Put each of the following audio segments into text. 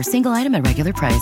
offer, single item at regular price.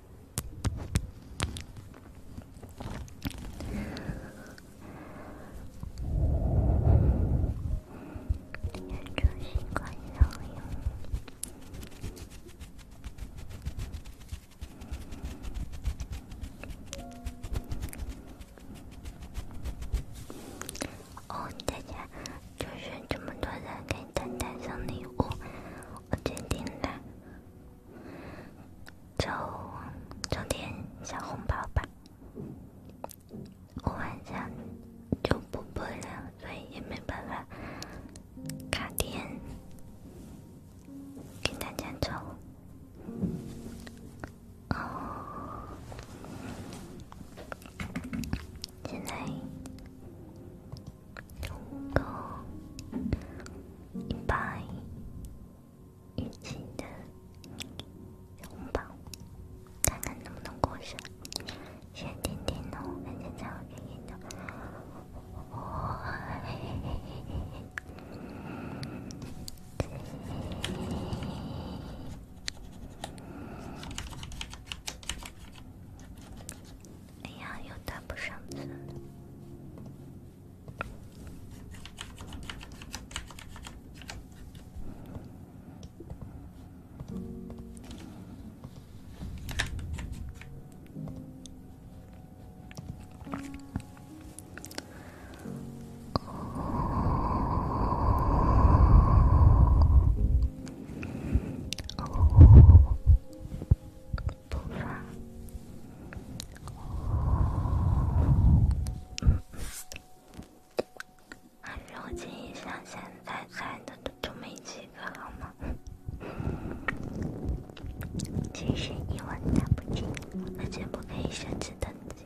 要祝新官早用。哦，大家就是这么多人给丹丹送礼物，我决定了。抽抽点小红包吧，我晚上就不播了，所以也没办法卡点给大家抽。哦，现在。用个一百元钱的红包，看看能不能过上，先听听的，然后再玩别的。我嘿嘿嘿。哎呀，又打不上字了。不发。嗯嗯，还如今像现在在的都就没几个，好吗？其实你完全不听，而且不可以设置等级。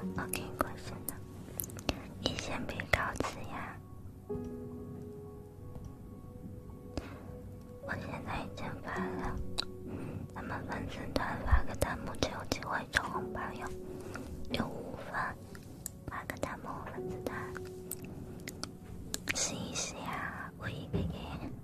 OK，过去了，你先别告辞呀。我现在已经发了，咱们粉丝团发个弹幕就有机会抽红包哟，有五分，发个弹幕，粉丝团试一试呀，我给你。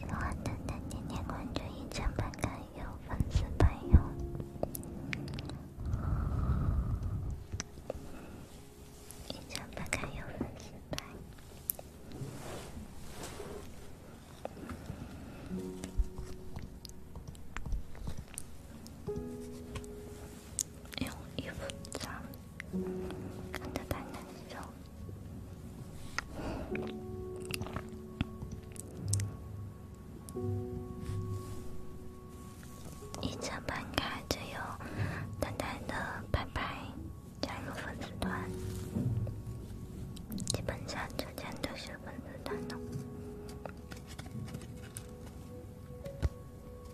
我等等，今天关注印象版卡有粉丝版哟，印象版卡有粉丝版。用一粉三，看着淡淡的笑，一张翻开就有淡淡的拍拍，加入粉丝团，基本上就全都是粉丝团了。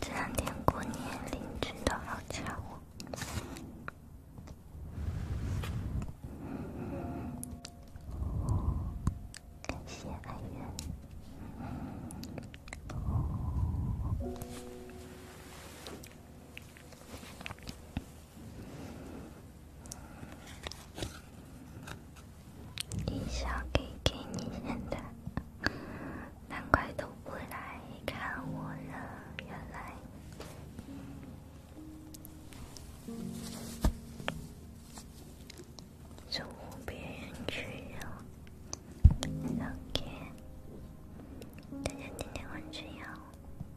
这两天过年，邻居的好家伙，感谢爱月。你想给给你现在，难怪都不来看我了，原来是别人去了。OK，大家今天晚安，睡觉。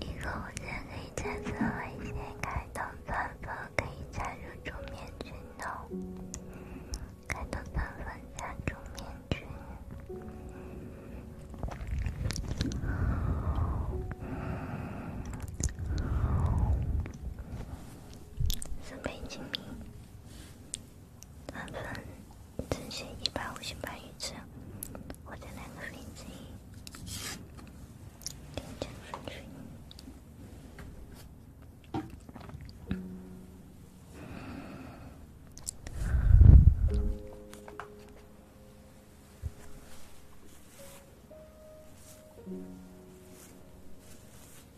以后也可以加一些开冬糖粉，可以加入竹面菌哦。开冬糖粉加竹面菌，三分，真心一百五十八一次，我在那个林子里听见水声。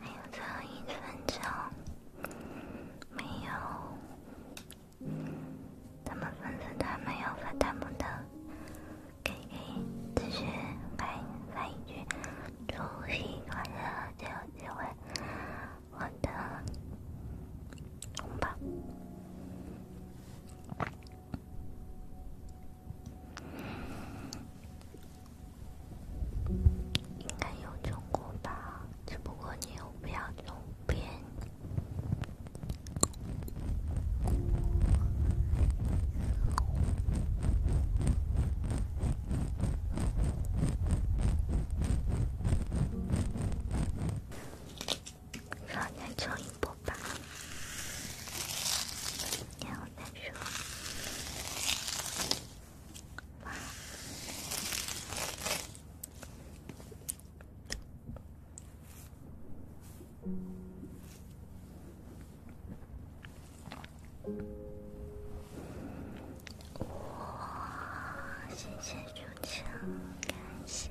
还有最后一分钟，没有，他们粉丝团没有发弹幕的，可以继续发发一句除夕快乐，最后一位，我的红包。应该有中国吧，只不过你不要路边。让你抽一波吧，你。再说。哇！谢谢主持感谢。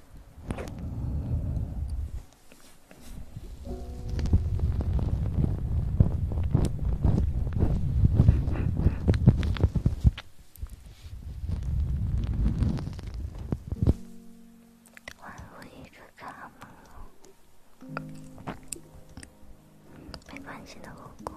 换回这个嘛，没关系的，果果。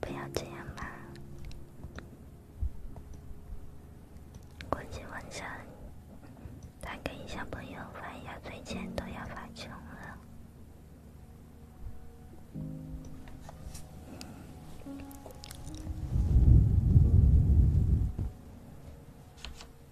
不要这样吧！估计晚上他跟小朋友发牙嘴钱都要发穷了。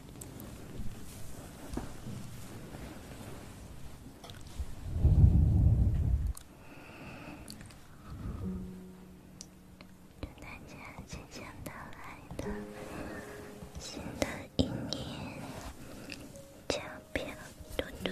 祝大家即将到来的新的一年，健康！嘟嘟。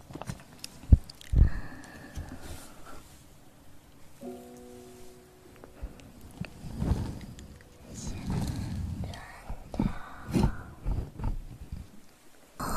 真的吗？哦哦。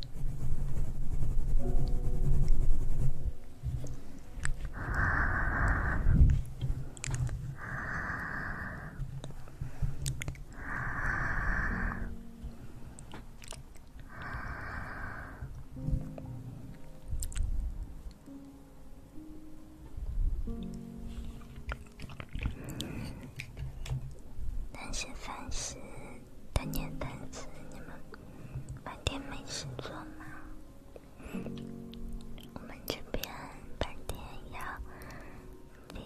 但是，但是。他年单词，你们白天没事做吗？我们这边白天要列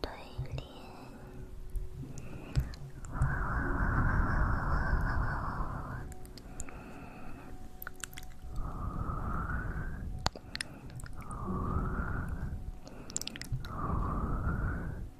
队联。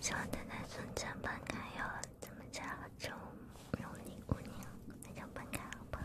希望大家从正半开哟，怎么讲就如你姑娘从正半开好不好？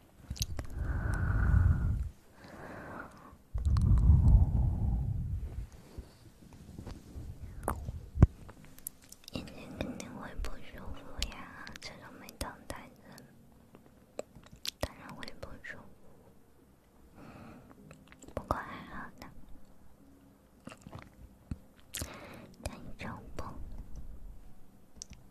眼睛肯定会不舒服呀，这种没挡袋子，当然会不舒服。不过还好呢，但你就不。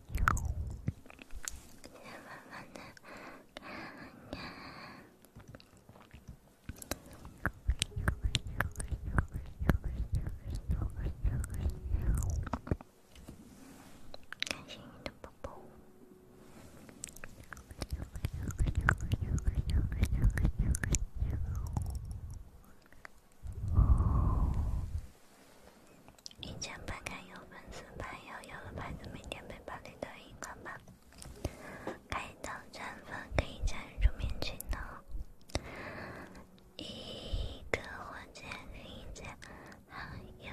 开心的宝宝。一千八开有粉丝牌，有有了牌的，明天陪八零的一个吧。开到战粉可以加入棉群的，一个火箭，另一件还有。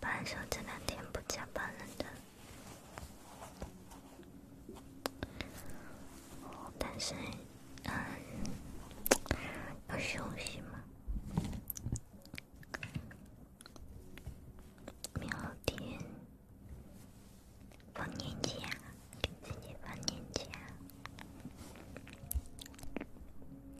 本来说这两天不加班的，但是，嗯，要休息嘛。明天放年假，给自己放年假。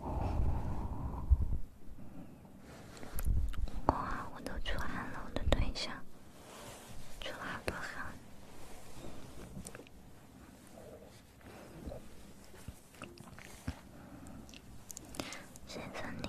哇！我都出汗了，我的对象出好多汗，先生你。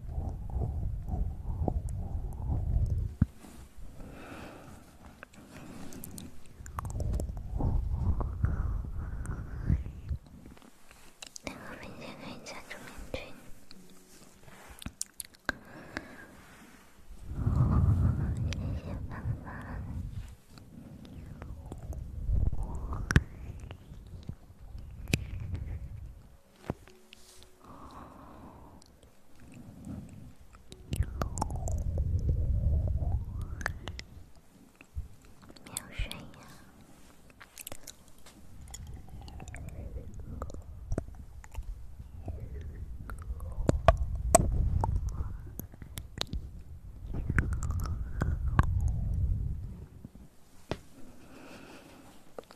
那个文件可以加重点群，谢谢爸爸。没有睡呀。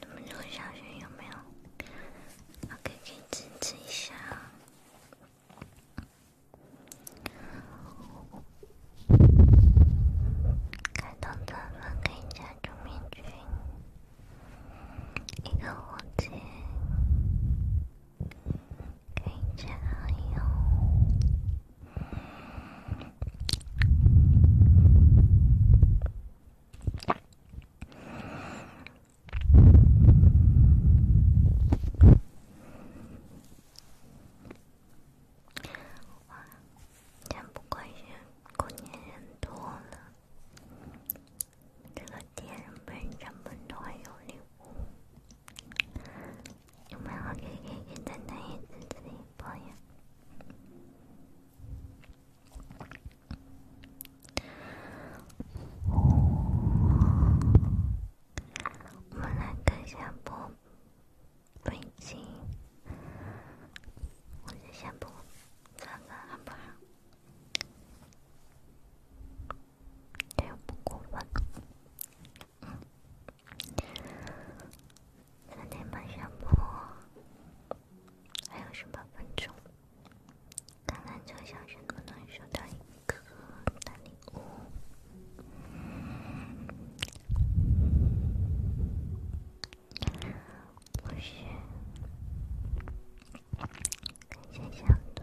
你们这个小群有没有？OK，可以支持一下。开通钻粉可以加朱明君，一个火箭可以加好友。哇，今天过年，过年人多了。这个店本上本都还有礼物，有没有给给给奶奶一次的生日？我们来看下播笔记，我是下播做个按摩，不要播过分。三点半下播，还有十八分钟，看看这小时能不收到一个大礼物。不是，看这小度。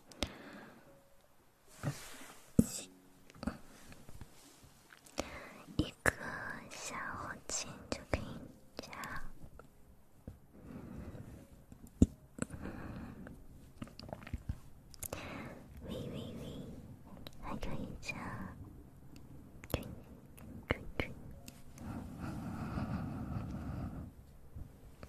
一颗小红心就可以加，喂喂喂，还可以加，嘟嘟嘟。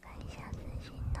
看一下摄像头。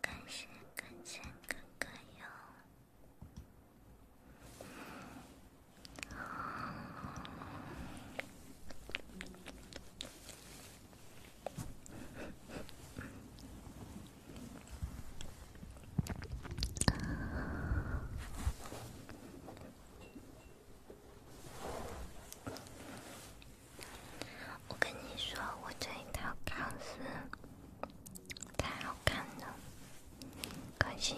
感谢感谢哥哥哟！我跟你说，我这一套钢丝。太好看了，可惜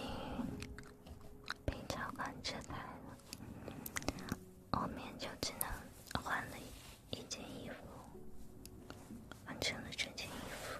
被召唤出来了。我明天就只能换了一一件衣服，换成了这件衣服。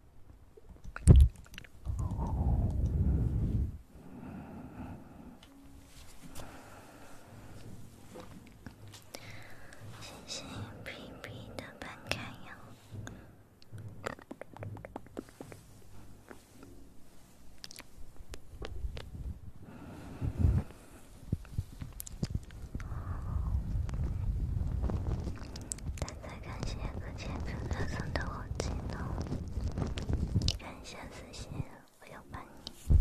谢谢皮皮的观看哟。再感谢各届哥哥送的火箭哦！感谢私信，我要帮你。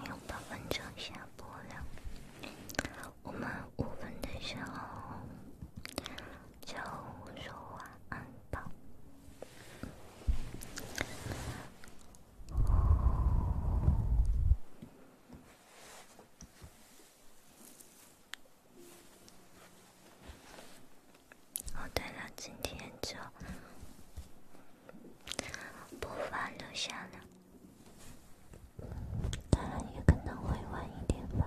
还有八分钟下播了，我们五分的时候。就我说晚安吧。哦，对了，今天就不发留下了，当然也可能会晚一点吧。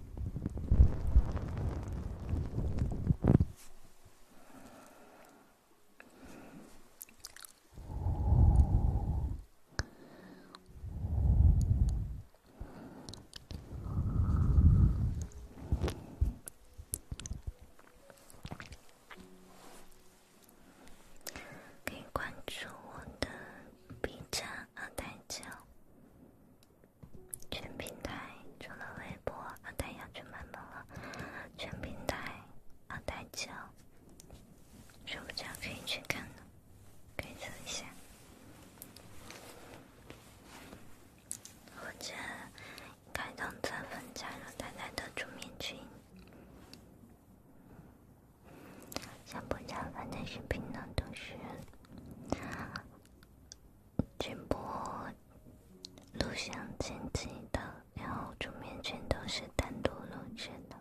可以关注我的 B 站阿呆酱。全平台，除了微博，阿呆要去卖萌了。全平台，阿呆教，睡不着可以去看可以走一下，或者开通钻粉，加入阿呆的主面群。想不加反正视频呢都是。直播录像剪辑的，然后桌面全都是单独录制的。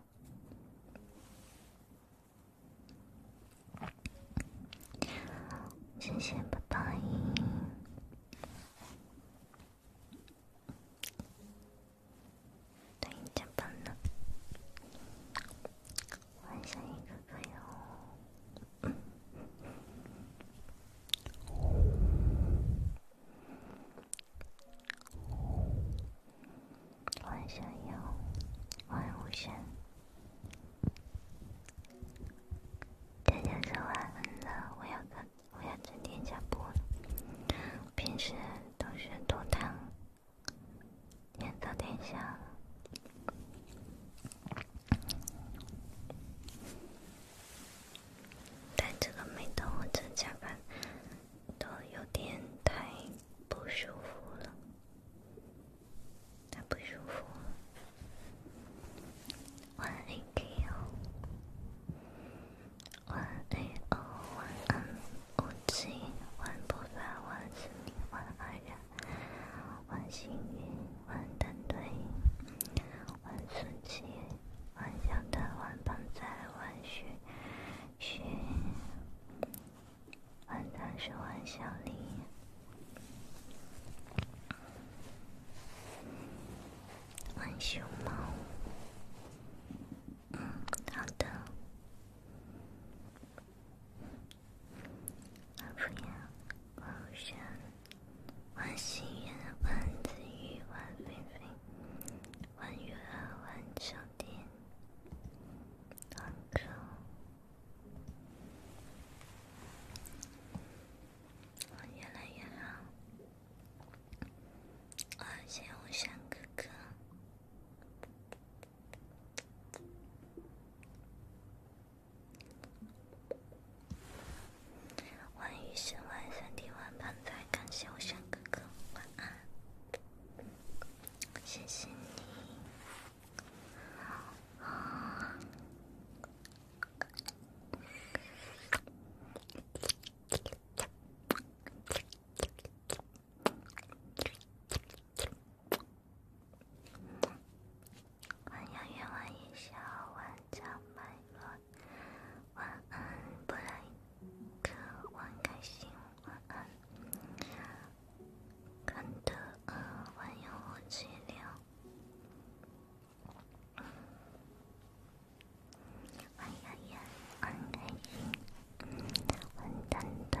谢谢不倒影，倒影加班了。晚安，雨哥哥哟。晚安，雨。晚安，吴生。大家都晚安了，我要可我要整天下播了，平时都是多糖。天早点下了，但这个每当我正加班，都有点太不舒服了，太不舒服。晚安，Ko。晚安哦，晚安，吴静，晚安，吴静，晚安，吴静，晚安，吴静。万星云、万丹丹、万顺琪、万小丹、万邦才、万雪雪、万丹是万小林、万熊猫。嗯，好的。王夫人、王后生、王熙元、王子玉、王菲菲、王月儿、王秋天、王哥，我越来越好，感谢吴山哥哥。晚雨深，晚三弟晚胖仔，感谢我轩哥哥，晚安，谢谢你。晚阳愿晚一笑，晚长满月，晚安不累，可晚开心，晚安。看的饿，晚有我解聊，晚阳阳，晚开心，晚团队。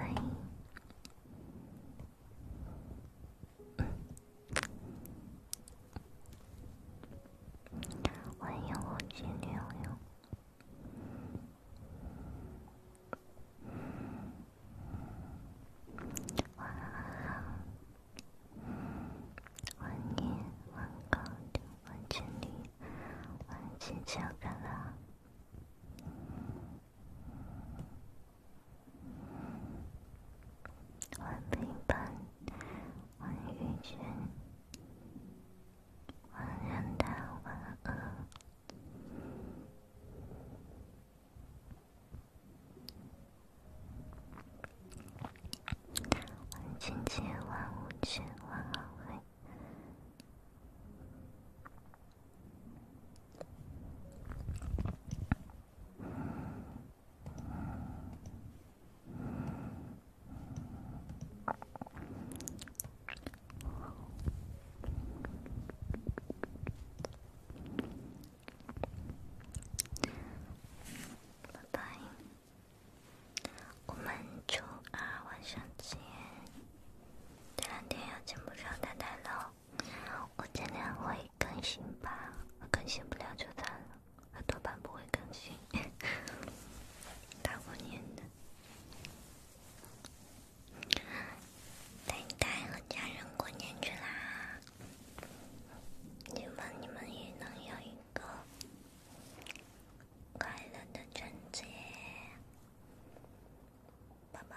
欢迎五七六六，万陪伴，万遇见，万担当，万恶。万亲切，万无缺，万安慰。拜拜，我们周二晚上见。这两天要见不会。更新吧，更新不了就算了，我多半不会更新。大过年的，等待和家人过年去啦！希望你们也能有一个快乐的春节，拜拜！